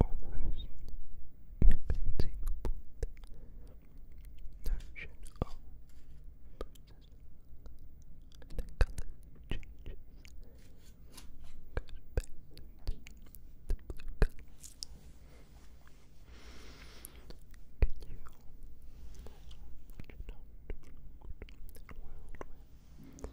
almost inconceivable notion of the color changes goes back the blue color. Can you imagine a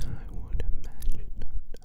I would imagine Evening Commissioner.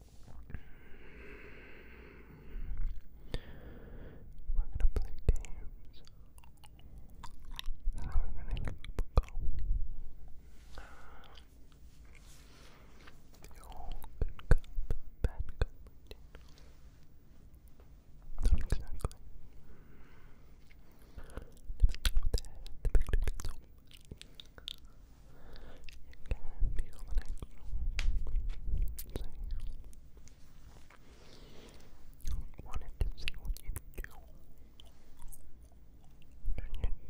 We're gonna play games. And then we're gonna go. The old good cup, bad cup Not exactly. Never start with the head, the big you can be the next one. So, to see what you do. And you didn't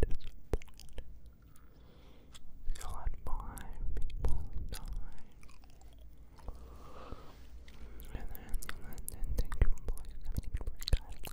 disappoint. You let five people die. And then, you were kind of like,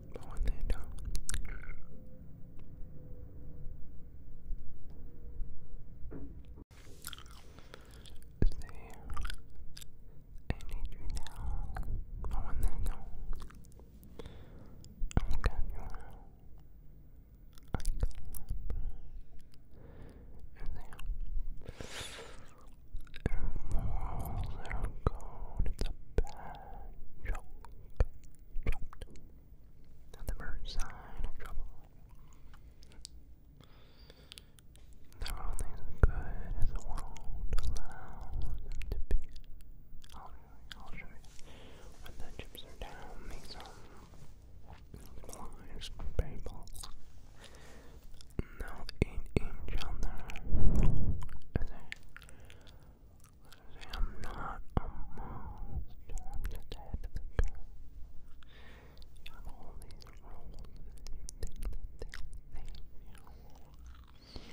but there. I need you now, but when they I'll get you I can't remember. Their morals, their code, it's a bad joke dropped. sign of trouble. they only as good as the world allows to be. I'll, show you. When the chips are down, make some blind paintballs. Now an angel there is I'm not a monster. I'm the type of the girl. You have all these roles that they'll save you.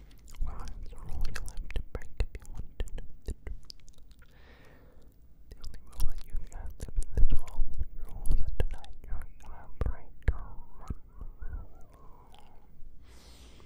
Well, you have to break if you want to know the truth. The only rule that you have to in is the rule that tonight you're gonna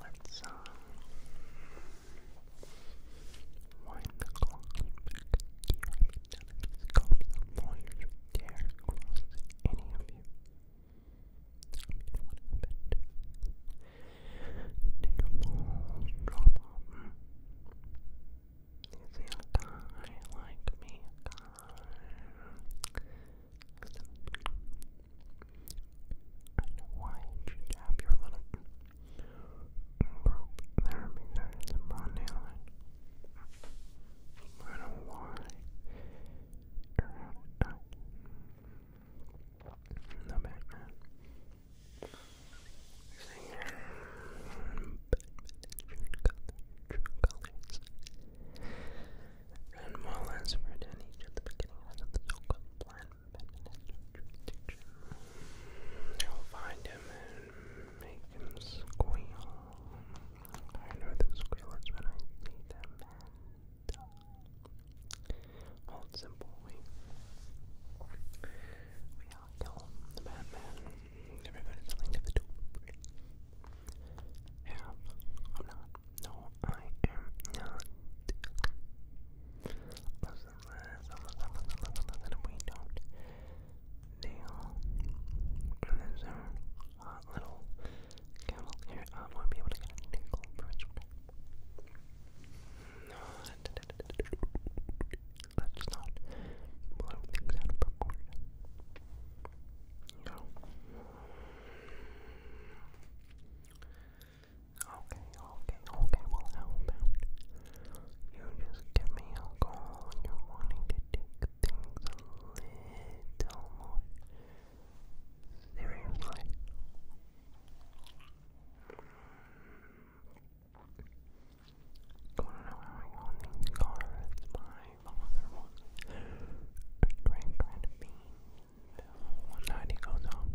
Let's um, wind the clock back here. None dare cross any of you. I mean, what happened? Take your balls, drop them. You see a guy like me, I know why you should your little group therapy there at the Bond Island. I don't know why you're out The Batman. Batman true colors. And while as written each at the beginning of the so plan i will find him and make him squeal. I know the squealers when I see them and uh, simple we kill the Batman. Everybody's linked to the dope. Yeah, I'm not. No, I am not. That we don't nail and little kettle here. I won't be able to get a nickel bridge. No, let not blow things out of proportion. Okay, okay, okay, well how about you just give me a call you're wanting to take things a little more seriously. Going to know how these cards. My father was a great grandbean one night he goes home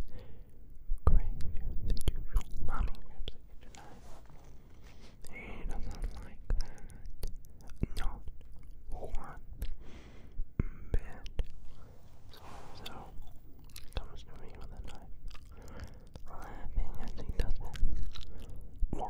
crazier than usual. Mommy grabs a knife. He does like that. Not one bit. So, so comes to me with a knife, laughing as he does it. Why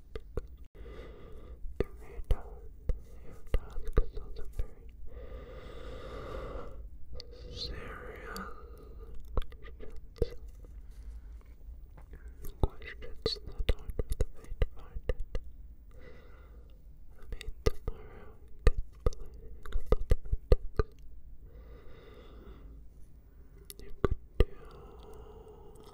give me a time. Your task is very serious questions. Questions that aren't for the faint-hearted. I mean, tomorrow I could play a You could do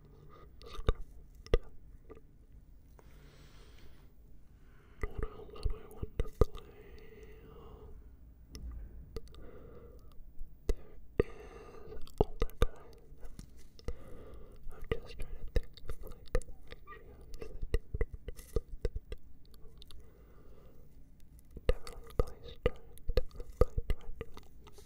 What I, what I want to play. There is older guys. I'm just trying to think of like the ratios that Definitely play Strike, definitely play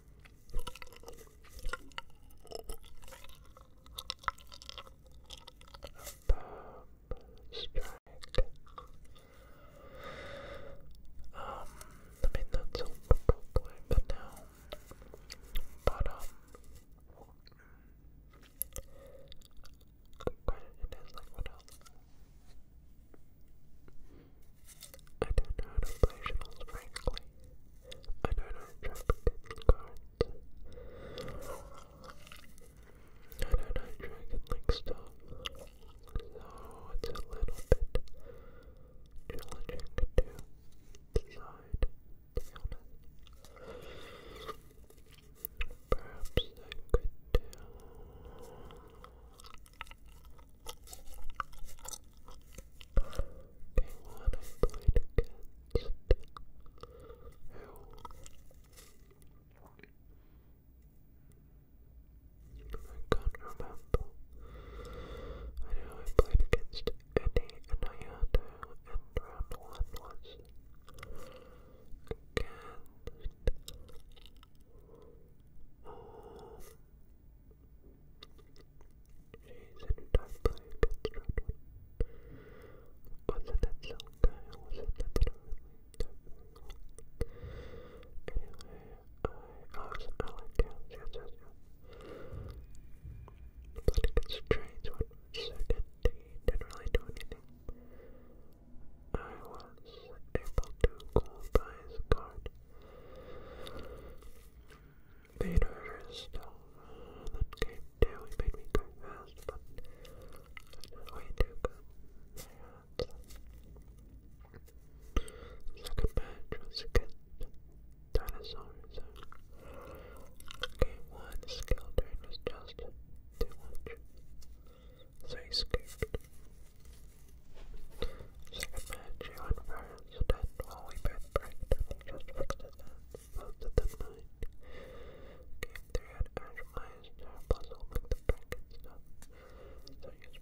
A bomb strike. Um, I mean that's all probably for now. But um like what else? I don't know how to play frankly. I don't know how to I don't know Dragon Link stuff. So oh, it's a little bit challenging to decide, Perhaps I could do. Anyone I played against who I can't remember. I know I played against Eddie and Ayato and round one was against isn't time playing Pet Was it that little guy was it that little Anyway, I, was I like cats, yes, yes, yes. But it gets strange when he didn't really do anything. I was able to go his card. Vader is still too. He made me go fast, but that's way good. Second match was against dinosaurs. Game one skill just too much. So he Second match, you and while we both pranked just fixed it then, both of them mind. Game 3 had Ash Myers and the prank so he was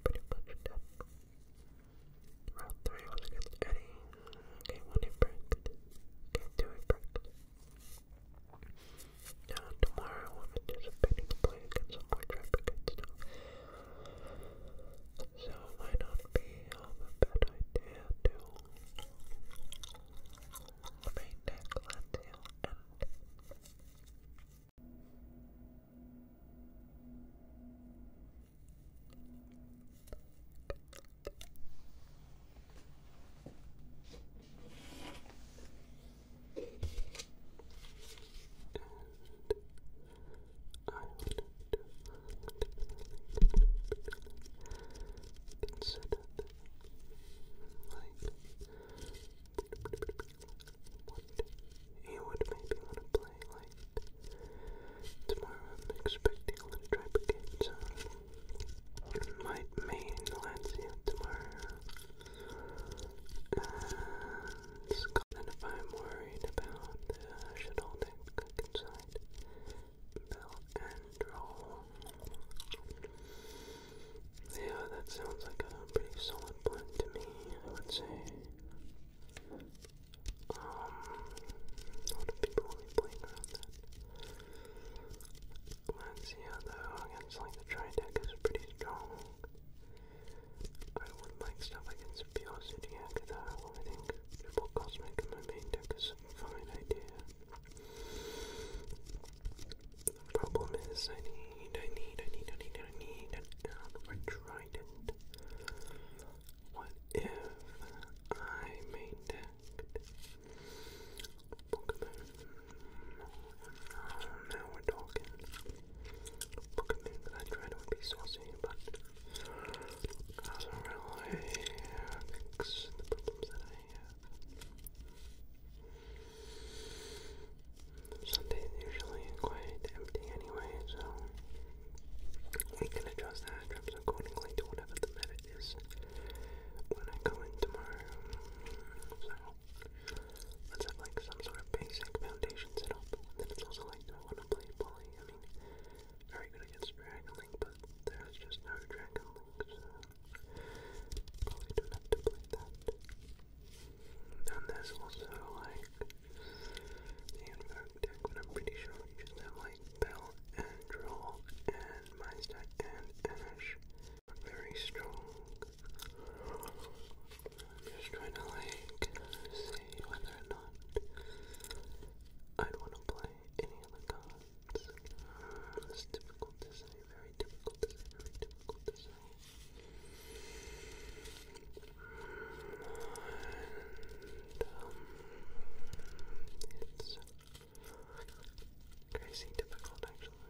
pretty much dead. Round 3 was against Eddie, game 1 he pranked, game 2 he pranked. Now tomorrow I'm anticipating to play against some more traffic and stuff. So it might not be a bad idea to paint that glass I would definitely consider that like what you would maybe want to play like tomorrow I'm expecting a little tribe again so might main Lancia tomorrow uh, Scotland if I'm worried about the uh, shuttle that cook inside. Yeah, that sounds like a pretty solid blend to me, I would say. Um, a lot of people will that. Let's see how though, like the tri is pretty strong. I would like stuff against Biosity Akadar. I think Triple Cosmic in my main deck is a fine idea. The problem is I need, I need, I need, I need, I need an Alpha Trident. What if I main decked Pokemon? Oh, now we're talking recommend that I try to be saucy, but I don't really fix the problems that I have. Sunday's usually quite empty anyway, so we can adjust the trips accordingly to whatever the method is when I go in tomorrow. So, Let's have like some sort of basic foundation set up. And then it's also like, I want to play Polly? I mean, very good against Dragon Link, but there's just no Dragon Link, so probably don't to play that. And there's also like the Invoke deck, but I'm pretty sure just have like Bell and Droll and Mindstack and Very strong. I'm just trying to like see whether or not I'd want to play any of cards. It's difficult to say, very difficult to say, very difficult to say. And, um, crazy difficult actually.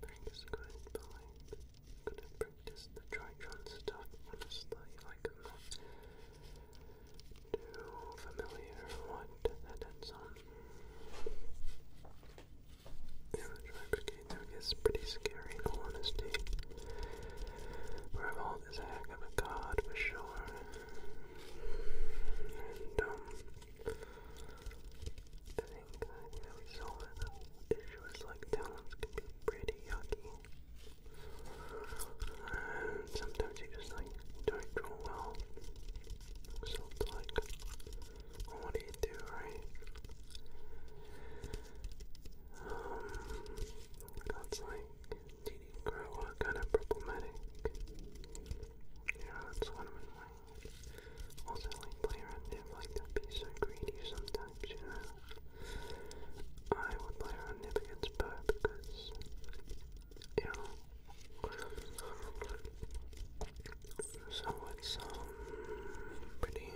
Thanks, good point gonna practice the Tritron honestly, I'm not too familiar what that ends the Tri Brigade is pretty scary in Revolt is a heck of a god for sure. And um same time, you know, we saw that can be pretty yucky. And sometimes you just like don't draw well. So like, what do you do, right? Um, that's like DD grower kind of problematic. Yeah, that's one of also, like, play around Nip, like, don't be so greedy sometimes, you know? I would play around Nip against Bo because, you know, so it's, um, pretty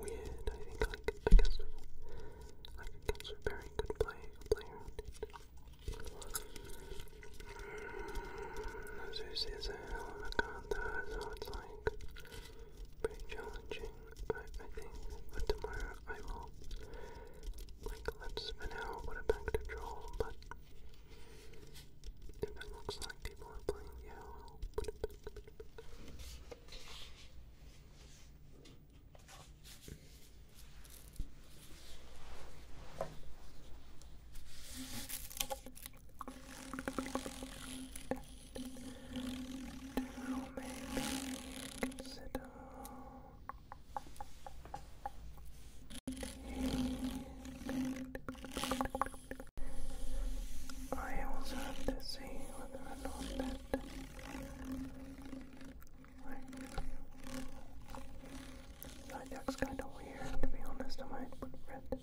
weird, I think, like, against, like, against a very good player, player as you see, it's a hell of a card though, so it's like pretty challenging. I, I think tomorrow I will like let's now put it to troll, but it looks like people are playing, yeah, do maybe consider I also have to see whether or not that Zodiac's kind of weird to be honest, I might put red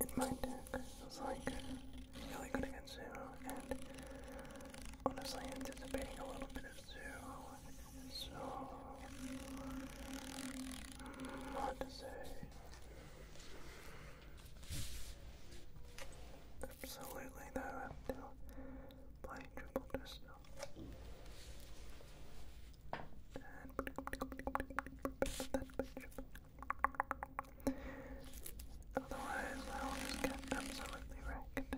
in my deck was like really good against Zoo, and honestly anticipating a little bit of Zoo, so mm, hard to say. Absolutely, though, I have to play triple just and otherwise, I'll get absolutely wrecked.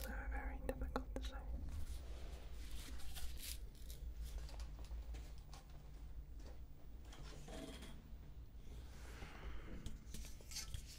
So very difficult to say.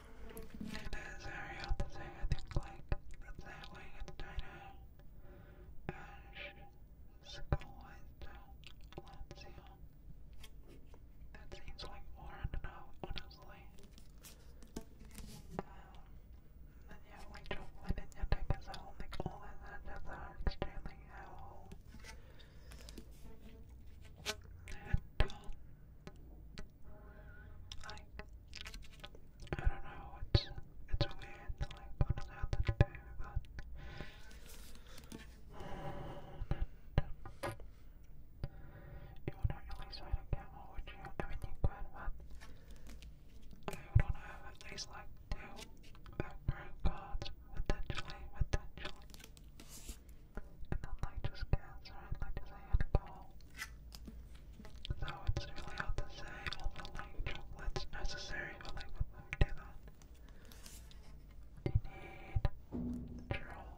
And as I say, I think like that way in China. And school is so let That seems like more enough, honestly. Um, and yeah, like chocolate and your type is all like all of that is are extremely owl. Like, I don't know, it's, it's weird, like, I don't know but... And, um, you wouldn't really say it again, or would you? I mean, you could, but... I would have at least, like, two background cards, potentially, potentially and like just cancer and like just handball. So it's really hard to say, although like what's necessary for like do that. You need troll,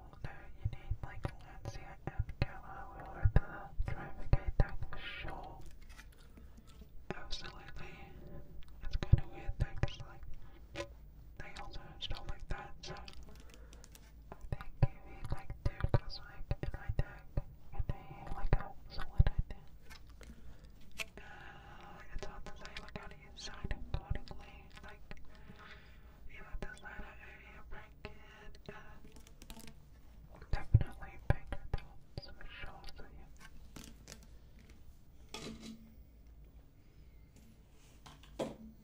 you need like Lancia and Gala or the Trafficate deck for sure. Absolutely. It's kinda weird though, like they also install like that, Thank you, you like two cosmic in my deck, and they like a solid right there. Uh, it's hard to say like how do you accordingly, like you have to decide break it, uh, definitely pick the some shows you.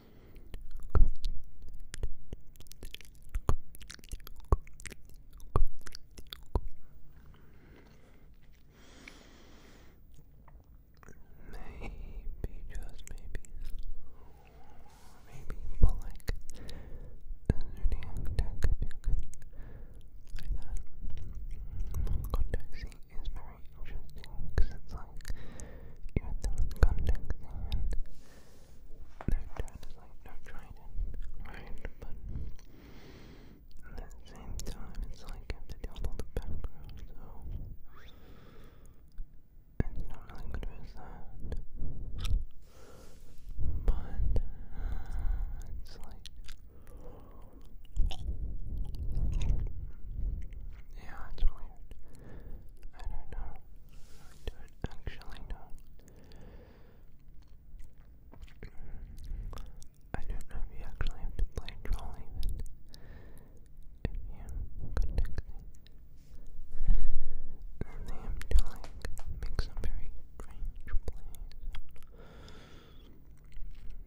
Maybe, just maybe, maybe, but like, Zodiac deck, if you could play that, contact is very very because it's like even though it's context no turn no trident, right? But at the same time it's like you deal with the background, so it's not really good as that. But it's like yeah, it's really I don't know. I don't actually know. I don't know if you actually have to play troll even. contact me. And they have to like make some very strange plays. Maybe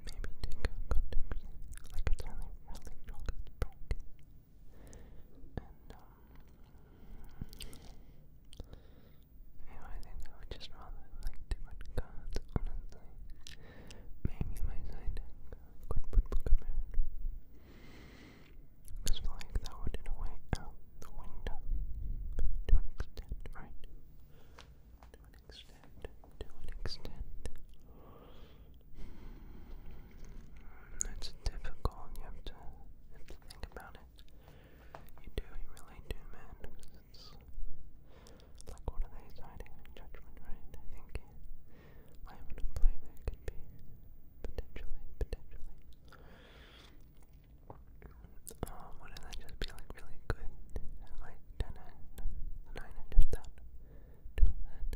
take a context. Like it's really broken, broken. just rather like different cards, honestly. Maybe my side deck could put Pokemon. Because, like, that would in the window to an extent, right? To an extent, to an extent. It's difficult. You have to, have to think about it. You do, you really do, man. it's like, what are they citing judgment, right? I think I would to play that could be potentially, potentially. Um, wouldn't that just be like really good? Like ten and nine and just do that.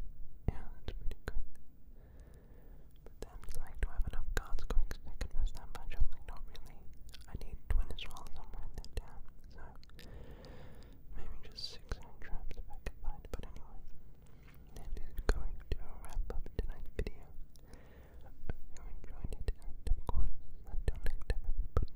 Yeah, that's pretty good. then it's like, do I have enough cards going to confess that much? I'm like, not really. I need twin as well somewhere in that town, so maybe just six traps if I can find. But anyway, that is going to wrap up tonight's video. I hope you enjoyed it, and of course, until next time, everybody.